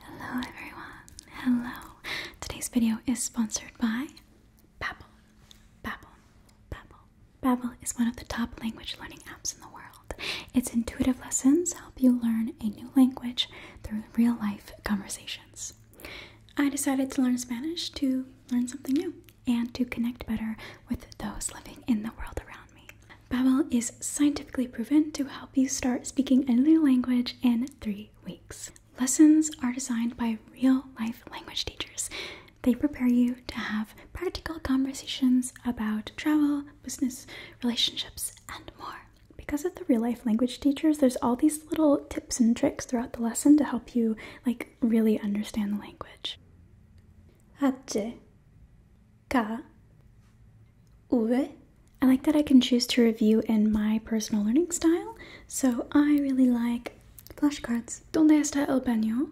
Hello everyone. Hello. Today's video is sponsored by Babbel. Babbel. Babbel. Babbel is one of the top language learning apps in the world. Its intuitive lessons help you learn a new language through real-life conversations. I decided to learn Spanish to learn something new and to connect better with those living in the world around me. Babbel is scientifically proven to help you start speaking a new language in three weeks. Lessons are designed by real life language teachers. They prepare you to have practical conversations about travel, business, relationships, and more. Because of the real life language teachers, there's all these little tips and tricks throughout the lesson to help you like really understand the language. Hace, ka, Eh? I like that I can choose to review in my personal learning style, so I really like flashcards. ¿Dónde está el baño?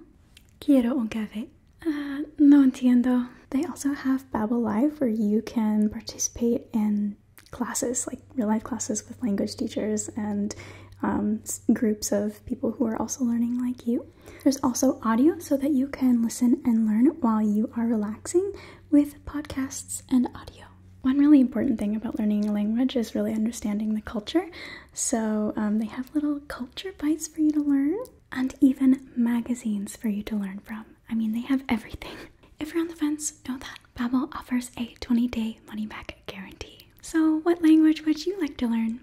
Quiero un café. Uh, no entiendo. They also have Babel Live where you can participate in classes, like real life classes with language teachers and um, groups of people who are also learning like you. There's also audio so that you can listen and learn while you are relaxing, with podcasts and audio. One really important thing about learning a language is really understanding the culture. So um, they have little culture bites for you to learn and even magazines for you to learn from. I mean, they have everything. If you're on the fence, know that Babbel offers a 20-day money-back guarantee. So what language would you like to learn?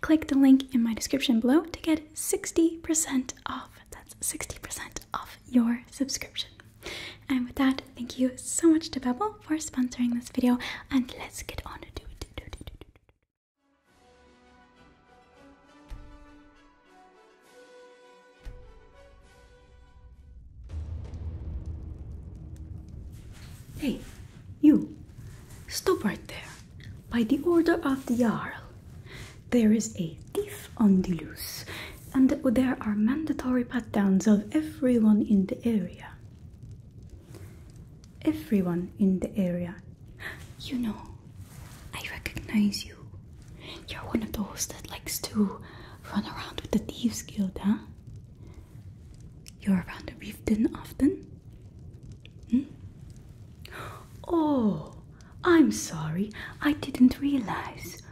Click the link in my description below to get 60% off that's 60% of your subscription. And with that, thank you so much to Babbel for sponsoring this video, and let's get on to do it. Hey, you! Stop right there. By the order of the Jarl, there is a thief on the loose, and there are mandatory pat downs of everyone in the area. Everyone in the area. You know, I recognize you. You're one of those that likes to run around with the Thieves Guild, huh? You're around the Reefton often? Hmm? Oh, I'm sorry, I didn't realize.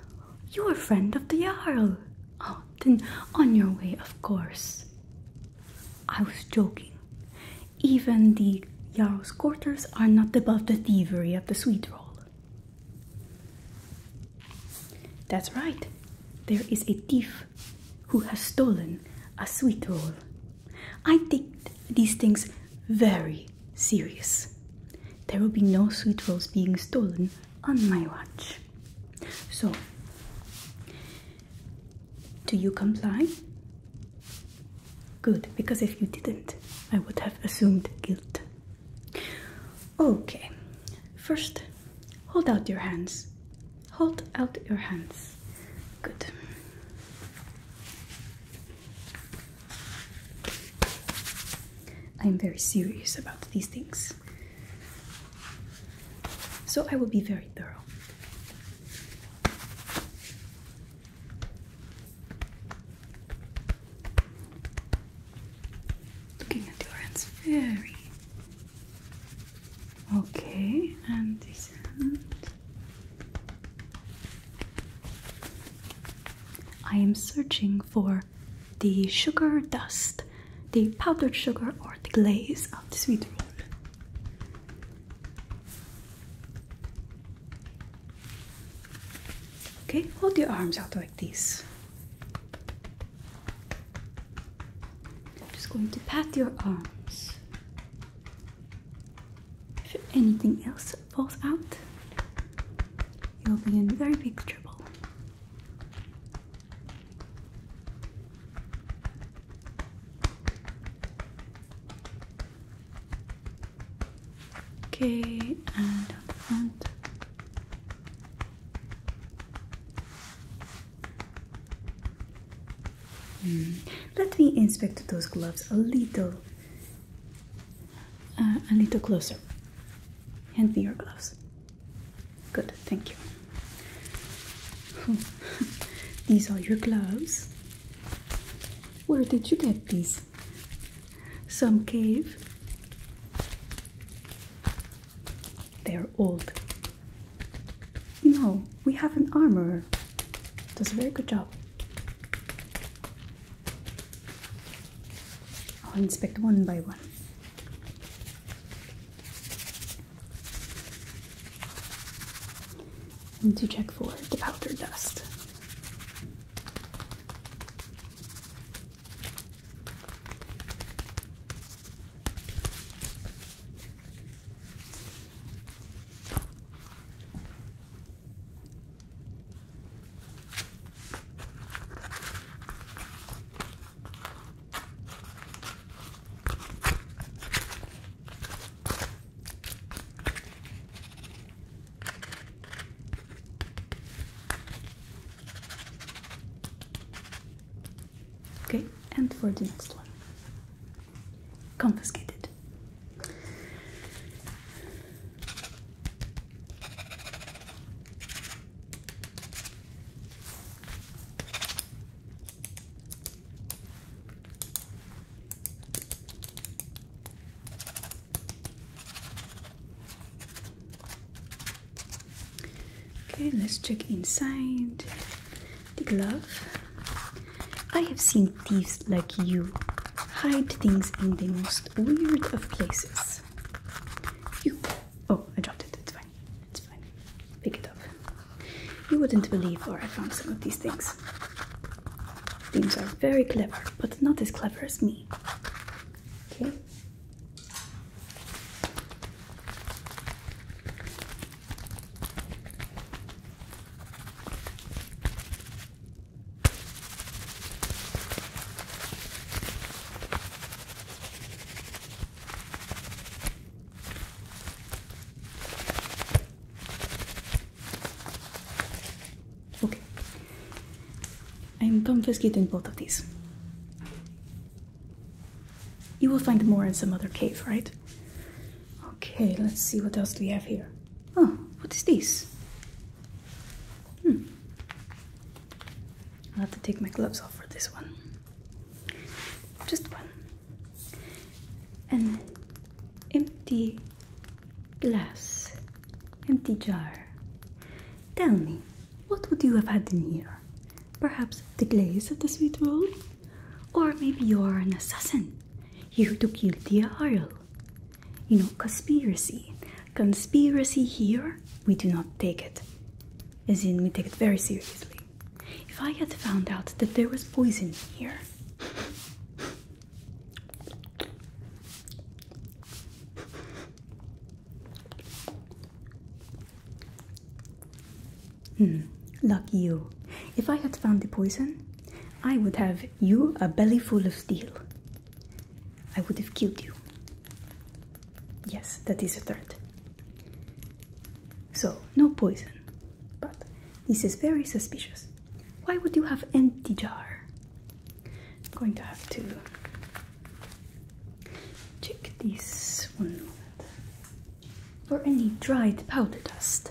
You're a friend of the Jarl. Oh, then on your way, of course. I was joking. Even the Jarl's quarters are not above the thievery of the sweet roll. That's right, there is a thief who has stolen a sweet roll. I think these things very serious. There will be no sweet rolls being stolen on my watch. So, do you comply? Good, because if you didn't, I would have assumed guilt. Okay, first, hold out your hands. Hold out your hands. Good. I'm very serious about these things. So I will be very thorough. Looking at your hands very. Okay, and this hand. I am searching for the sugar dust, the powdered sugar, or the glaze of the sweet roll. Okay, hold your arms out like this. I'm just going to pat your arms. If anything else this falls out, you'll be in very big trouble. Okay, and hmm. Let me inspect those gloves a little. Uh, a little closer. Hand me your gloves. Good, thank you. these are your gloves. Where did you get these? Some cave? They're old. No, we have an armorer. Does a very good job. I'll inspect one by one. And to check for the powder dust. Okay, and for the next one confiscated. Okay, let's check inside the glove. I have seen thieves like you hide things in the most weird of places. You oh, I dropped it. It's fine. It's fine. Pick it up. You wouldn't believe where I found some of these things. Things are very clever, but not as clever as me. Okay. Okay. I'm confiscating both of these. You will find more in some other cave, right? Okay, let's see what else we have here. Oh, what is this? Hmm. I'll have to take my gloves off for this one. Just one. An empty glass, empty jar. Tell me, what would you have had in here? Perhaps the glaze of the sweet roll? Or maybe you're an assassin, here to kill Tia Harl. You know, conspiracy. Conspiracy here, we do not take it. As in, we take it very seriously. If I had found out that there was poison here, Hmm, lucky you. If I had found the poison, I would have you a belly full of steel I would have killed you. Yes, that is a threat. So, no poison. But this is very suspicious. Why would you have empty jar? going to have to check this one for any dried powder dust.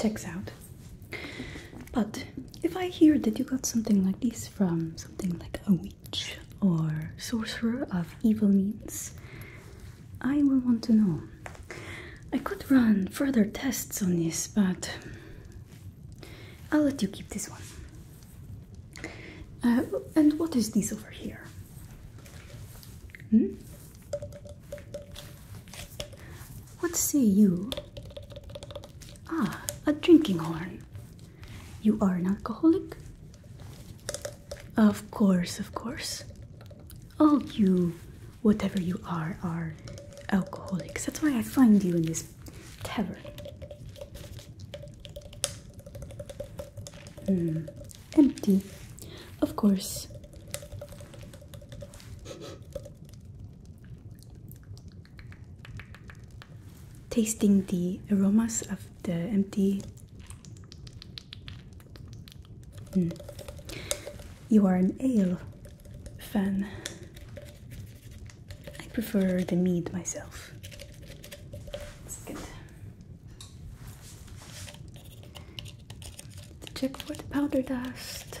Checks out. But if I hear that you got something like this from something like a witch or sorcerer of evil means, I will want to know. I could run further tests on this, but I'll let you keep this one. Uh, and what is this over here? Hmm? What say you? Ah, a drinking horn. You are an alcoholic? Of course, of course. All you, whatever you are, are alcoholics. That's why I find you in this tavern. Hmm, empty, of course. Tasting the aromas of the empty. Hmm. You are an ale fan. I prefer the meat myself. It's Check for the powder dust.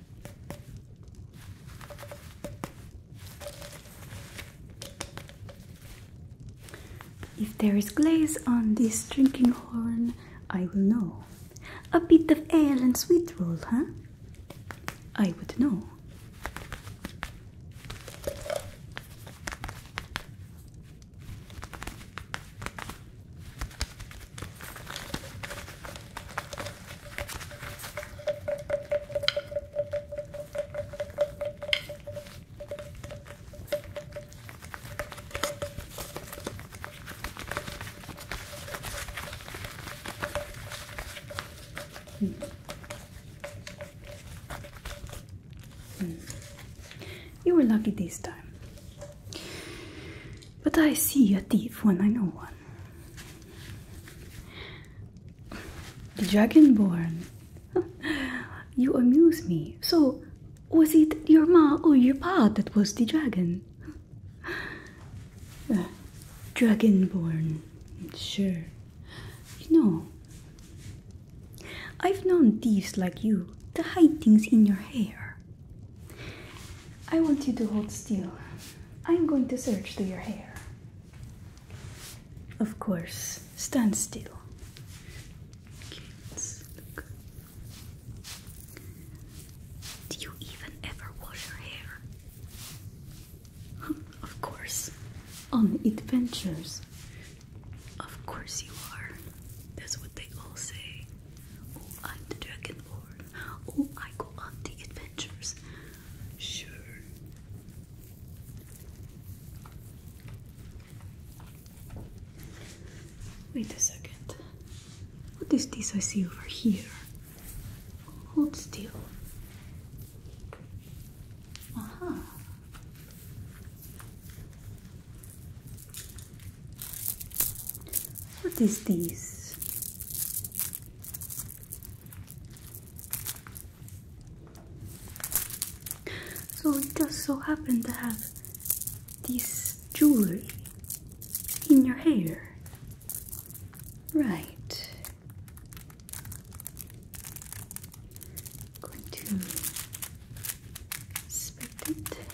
If there is glaze on this drinking horn, I will know. A bit of ale and sweet roll, huh? I would know. Hmm. You were lucky this time. But I see a thief when I know one. Dragonborn, you amuse me. So, was it your ma or your pa that was the dragon? dragonborn, sure. You know, I've known thieves like you to hide things in your hair. I want you to hold still. I'm going to search through your hair. Of course, stand still. Do you even ever wash your hair? of course. On adventures. Of course you are. That's what they all say. Oh, I'm the dragonborn. Oh, I go on the adventures. Sure. Wait a second. What is this I see over here? Hold still. -huh. What is this? So it just so happened to have this jewelry in your hair. Right. Going to inspect it.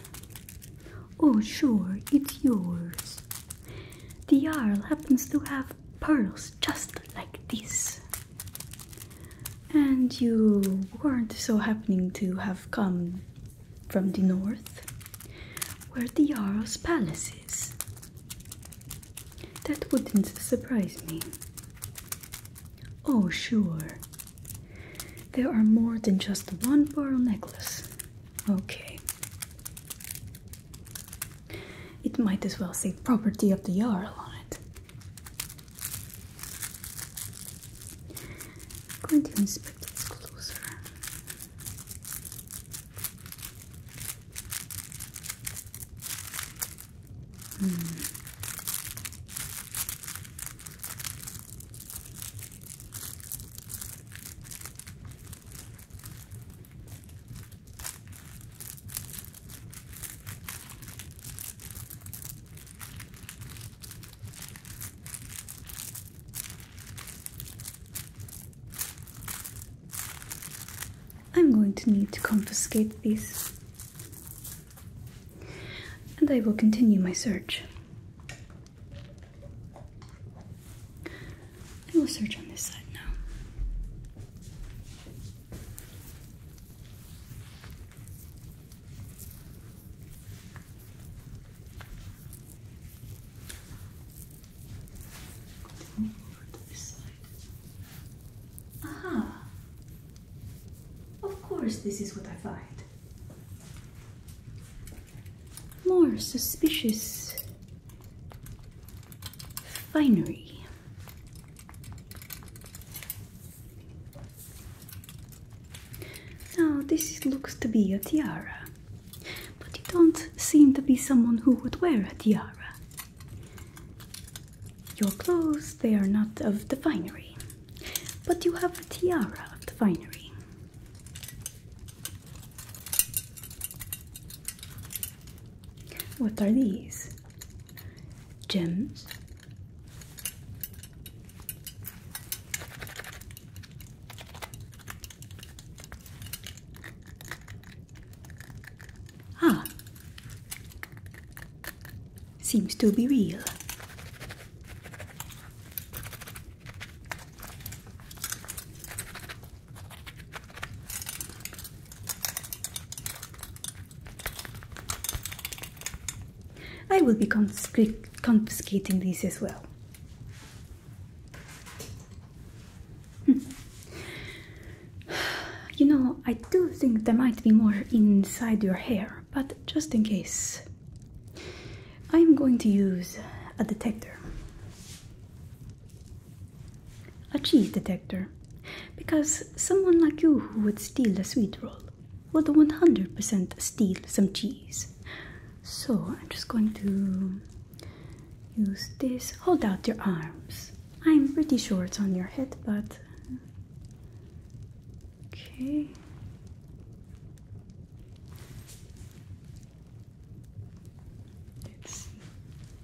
Oh, sure, it's yours. The Jarl happens to have pearls just like this. And you weren't so happening to have come from the north, where the Jarl's palace is. That wouldn't surprise me. Oh, sure. There are more than just one pearl necklace. Okay. It might as well say property of the Jarl on it. going to inspect this closer. Hmm. I'm going to need to confiscate these. And I will continue my search. I will search on this side now. this side. Aha! Of course, this is what I find. More suspicious finery. Now, this looks to be a tiara, but you don't seem to be someone who would wear a tiara. Your clothes, they are not of the finery, but you have a tiara of the finery. What are these? Gems. Ah, seems to be real. I will be confiscating these as well. Hmm. You know, I do think there might be more inside your hair, but just in case, I'm going to use a detector a cheese detector because someone like you who would steal a sweet roll would 100% steal some cheese. So I'm just going to use this. Hold out your arms. I'm pretty sure it's on your head, but. Okay.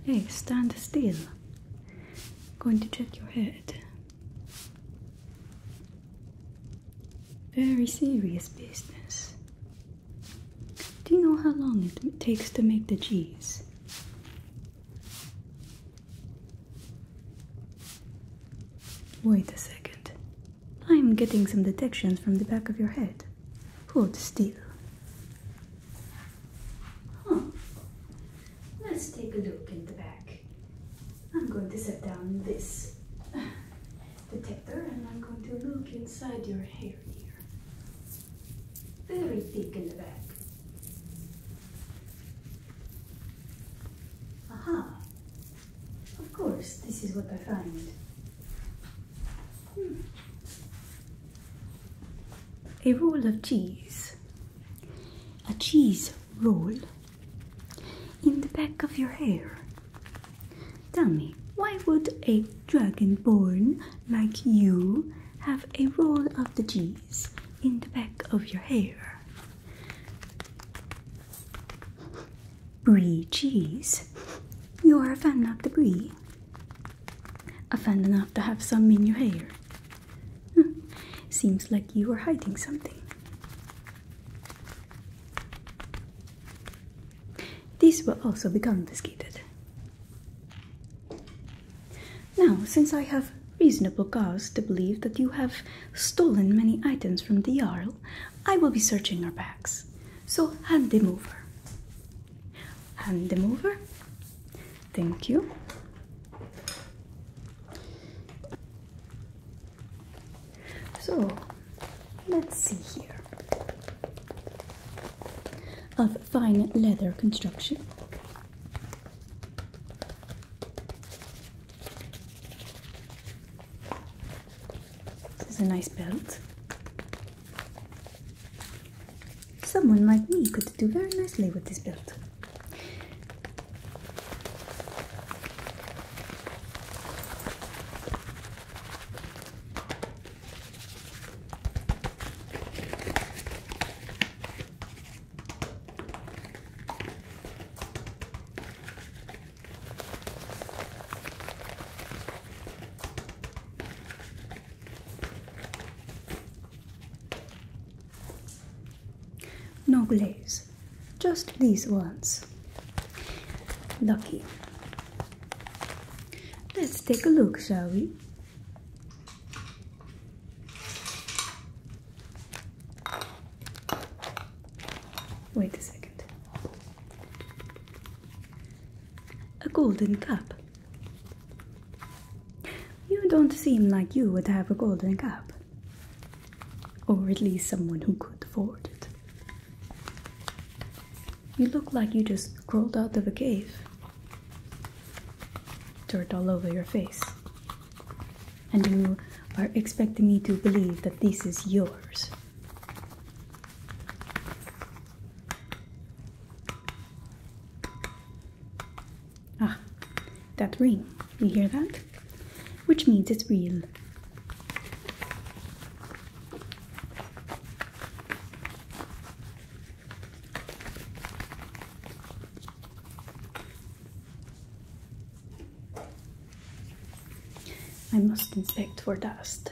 Hey, stand still. going to check your head. Very serious business. Do you know how long it takes to make the cheese? Wait a second. I'm getting some detections from the back of your head. Hold still. Huh. Let's take a look in the back. I'm going to set down this detector and I'm going to look inside your hair here. Very thick in the back. Aha! Of course, this is what I find. A roll of cheese. A cheese roll in the back of your hair. Tell me, why would a dragonborn like you have a roll of the cheese in the back of your hair? Brie cheese. You are a fan of the brie. Offend enough to have some in your hair. Seems like you are hiding something. These will also be confiscated. Now, since I have reasonable cause to believe that you have stolen many items from the Jarl, I will be searching your bags. So hand them over. Hand them over. Thank you. So let's see here. Of fine leather construction. This is a nice belt. Someone like me could do very nicely with this belt. No glaze, just these ones. Lucky. Let's take a look, shall we? Wait a second. A golden cup. You don't seem like you would have a golden cup. Or at least someone who could afford it. You look like you just crawled out of a cave. Dirt all over your face. And you are expecting me to believe that this is yours. Ah, that ring. You hear that? Which means it's real. I must inspect for dust.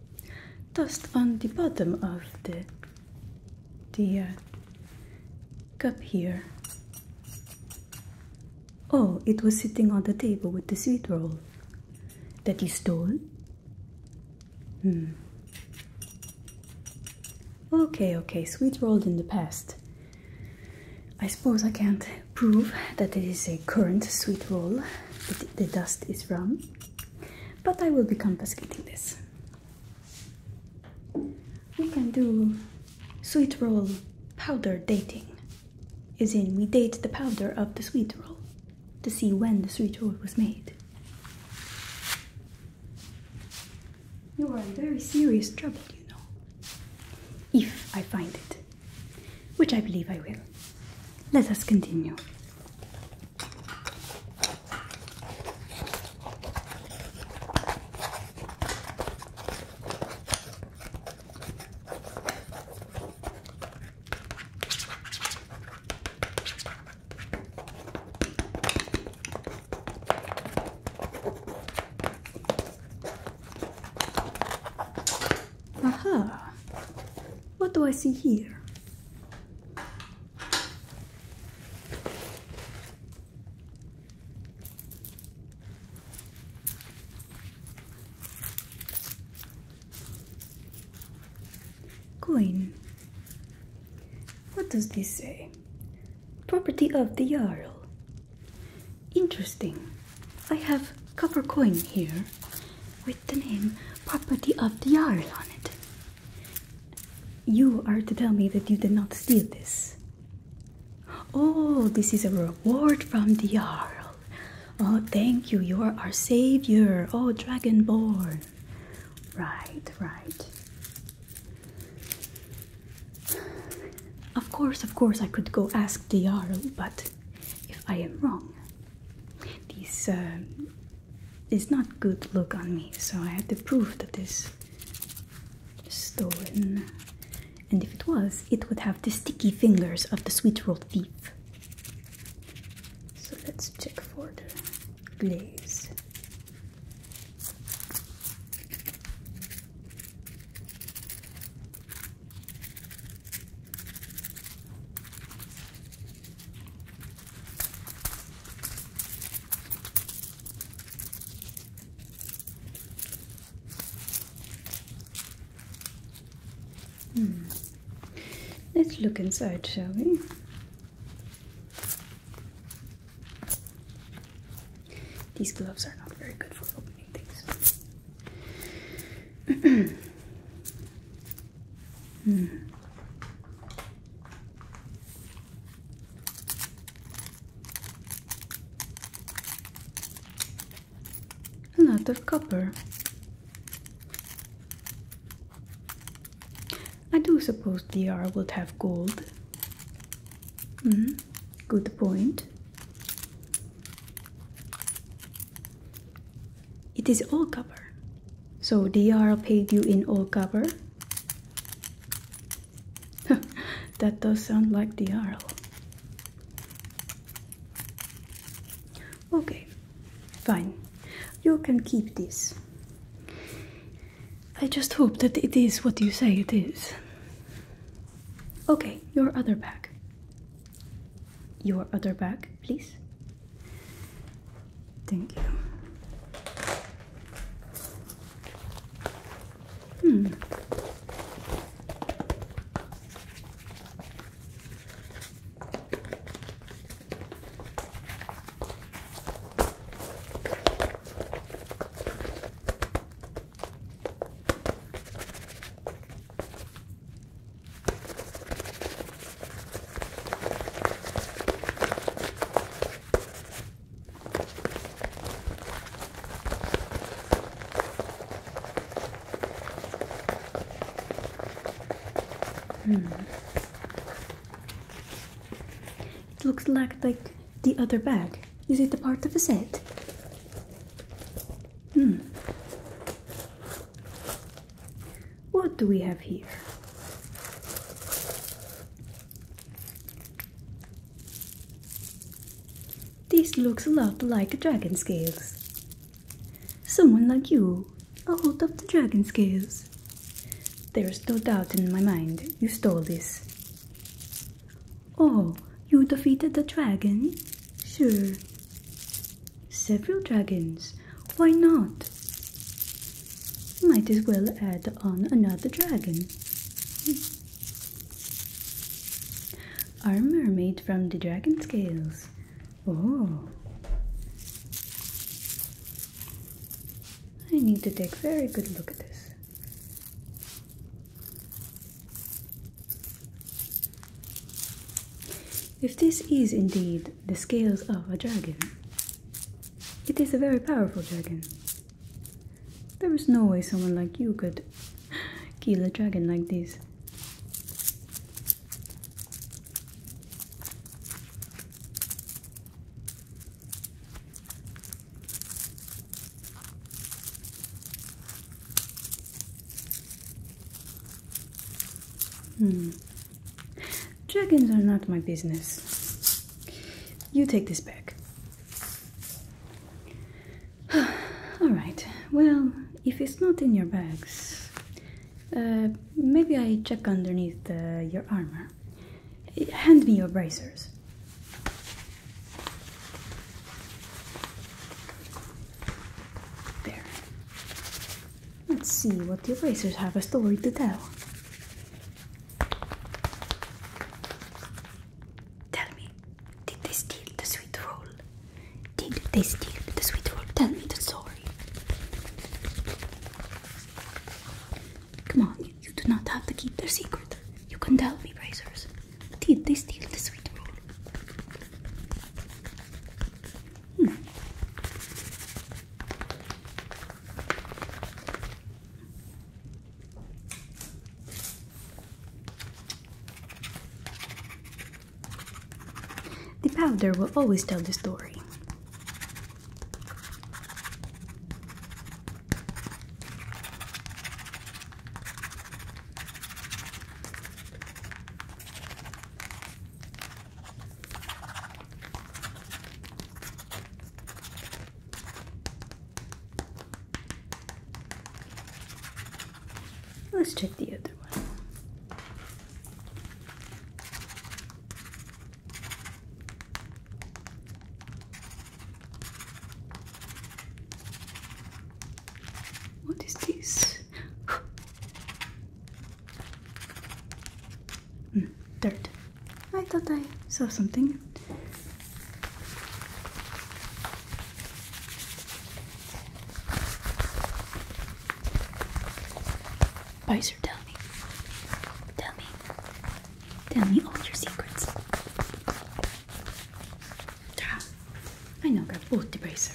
dust on the bottom of the the cup here. Oh, it was sitting on the table with the sweet roll that you stole. Hmm. Okay, okay, sweet roll in the past. I suppose I can't prove that it is a current sweet roll that the dust is from, but I will be confiscating this. We can do sweet roll powder dating, Is in we date the powder of the sweet roll to see when the sweet roll was made. You are in very serious trouble, you know. If I find it, which I believe I will. Let us continue. Aha! What do I see here? Coin. What does this say? Property of the Jarl. Interesting. I have copper coin here with the name Property of the Jarl on it. You are to tell me that you did not steal this. Oh, this is a reward from the Jarl. Oh, thank you. You are our savior. Oh, Dragonborn. Right, right. Of course, of course, I could go ask the Jarl, but if I am wrong, uh, this is not good look on me, so I had to prove that this stolen. And if it was, it would have the sticky fingers of the sweet roll thief. So let's check for the glaze. Hmm. Let's look inside, shall we? These gloves are not very good for opening things. Hmm. of copper. I do suppose DR would have gold. Hmm. Good point. It is all copper. So DR paid you in all copper? that does sound like DR. Okay, fine. You can keep this. I just hope that it is what you say it is. Okay, your other bag. Your other bag, please. Thank you. Hmm. Hmm. It looks like like the other bag. Is it a part of the set? Hmm. What do we have here? This looks a lot like dragon scales. Someone like you, a hold of the dragon scales. There's no doubt in my mind you stole this. Oh, you defeated the dragon? Sure. Several dragons. Why not? might as well add on another dragon. Hmm. Armor made from the dragon scales. Oh. I need to take a very good look at this. If this is indeed the scales of a dragon. It is a very powerful dragon. There is no way someone like you could kill a dragon like this. Hmm. Dragons are not my business. You take this back. Alright, well, if it's not in your bags, uh, maybe I check underneath uh, your armor. Hand me your bracers. There. Let's see what the erasers have a story to tell. Tell me, did they steal the sweet roll? Did they steal the sweet roll? Tell me the story. Come on, you, do not have to keep their secret. You can tell me, erasers. Did they steal the sweet roll? Hmm. The powder will always tell the story. Let's check the other one. What is this? Mm, dirt. I thought I saw something. Bicer, tell me. Tell me. Tell me all your secrets. I know got both the bracer.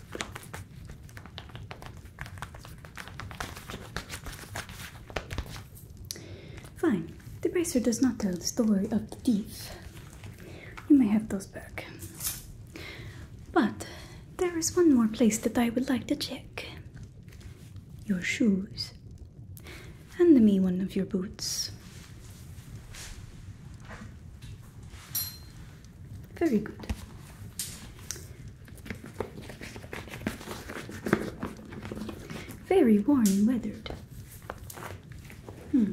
Fine, the bracer does not tell the story of the thief. You may have those back. But there is one more place that I would like to check your shoes. Hand me one of your boots. Very good. Very worn and weathered. Hmm.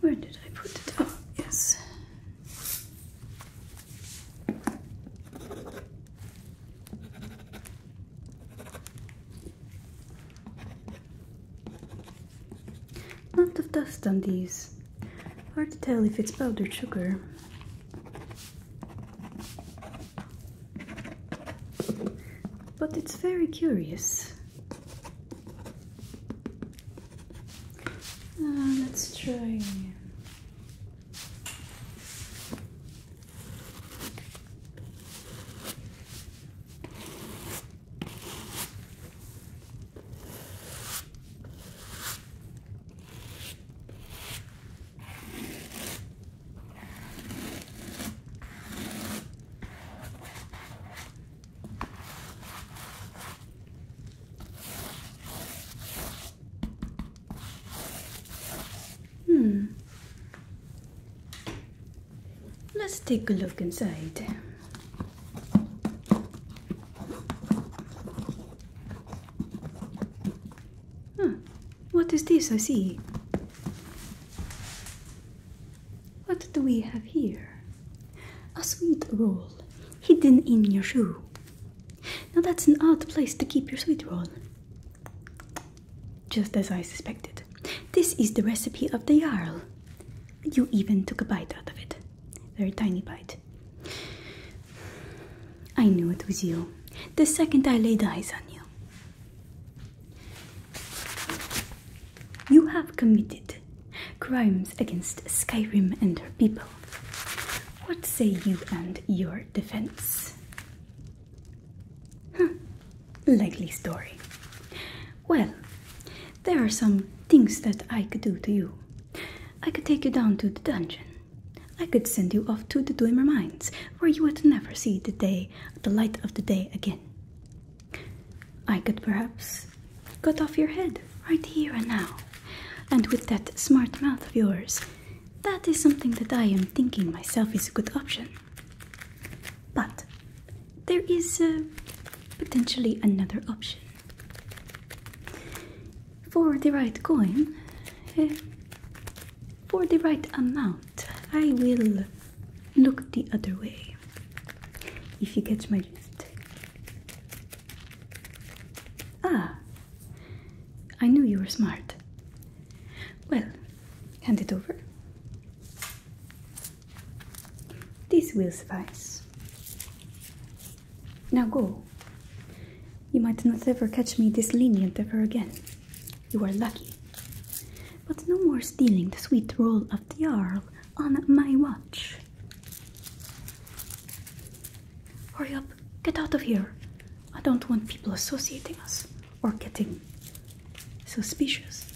Where did I put it? Oh, yes. lot of dust on these. Hard to tell if it's powdered sugar. But it's very curious. Ah, let's try Hmm. Let's take a look inside. Huh. What is this I see? What do we have here? A sweet roll hidden in your shoe. Now that's an odd place to keep your sweet roll. Just as I suspected. This is the recipe of the Jarl. You even took a bite out of it. Very tiny bite. I knew it was you. The second I laid eyes on you. You have committed crimes against Skyrim and her people. What say you and your defense? Huh. Likely story. Well, there are some things that I could do to you. I could take you down to the dungeon. I could send you off to the Dwemer Mines, where you would never see the day the light of the day again. I could perhaps cut off your head right here and now. And with that smart mouth of yours, that is something that I am thinking myself is a good option. But there is potentially another option. For the right coin, eh, for the right amount, I will look the other way. If you catch my drift. Ah, I knew you were smart. Well, hand it over. This will suffice. Now go. You might not ever catch me this lenient ever again. You are lucky. But no more stealing the sweet roll of the Earl on my watch. Hurry up, get out of here. I don't want people associating us or getting suspicious.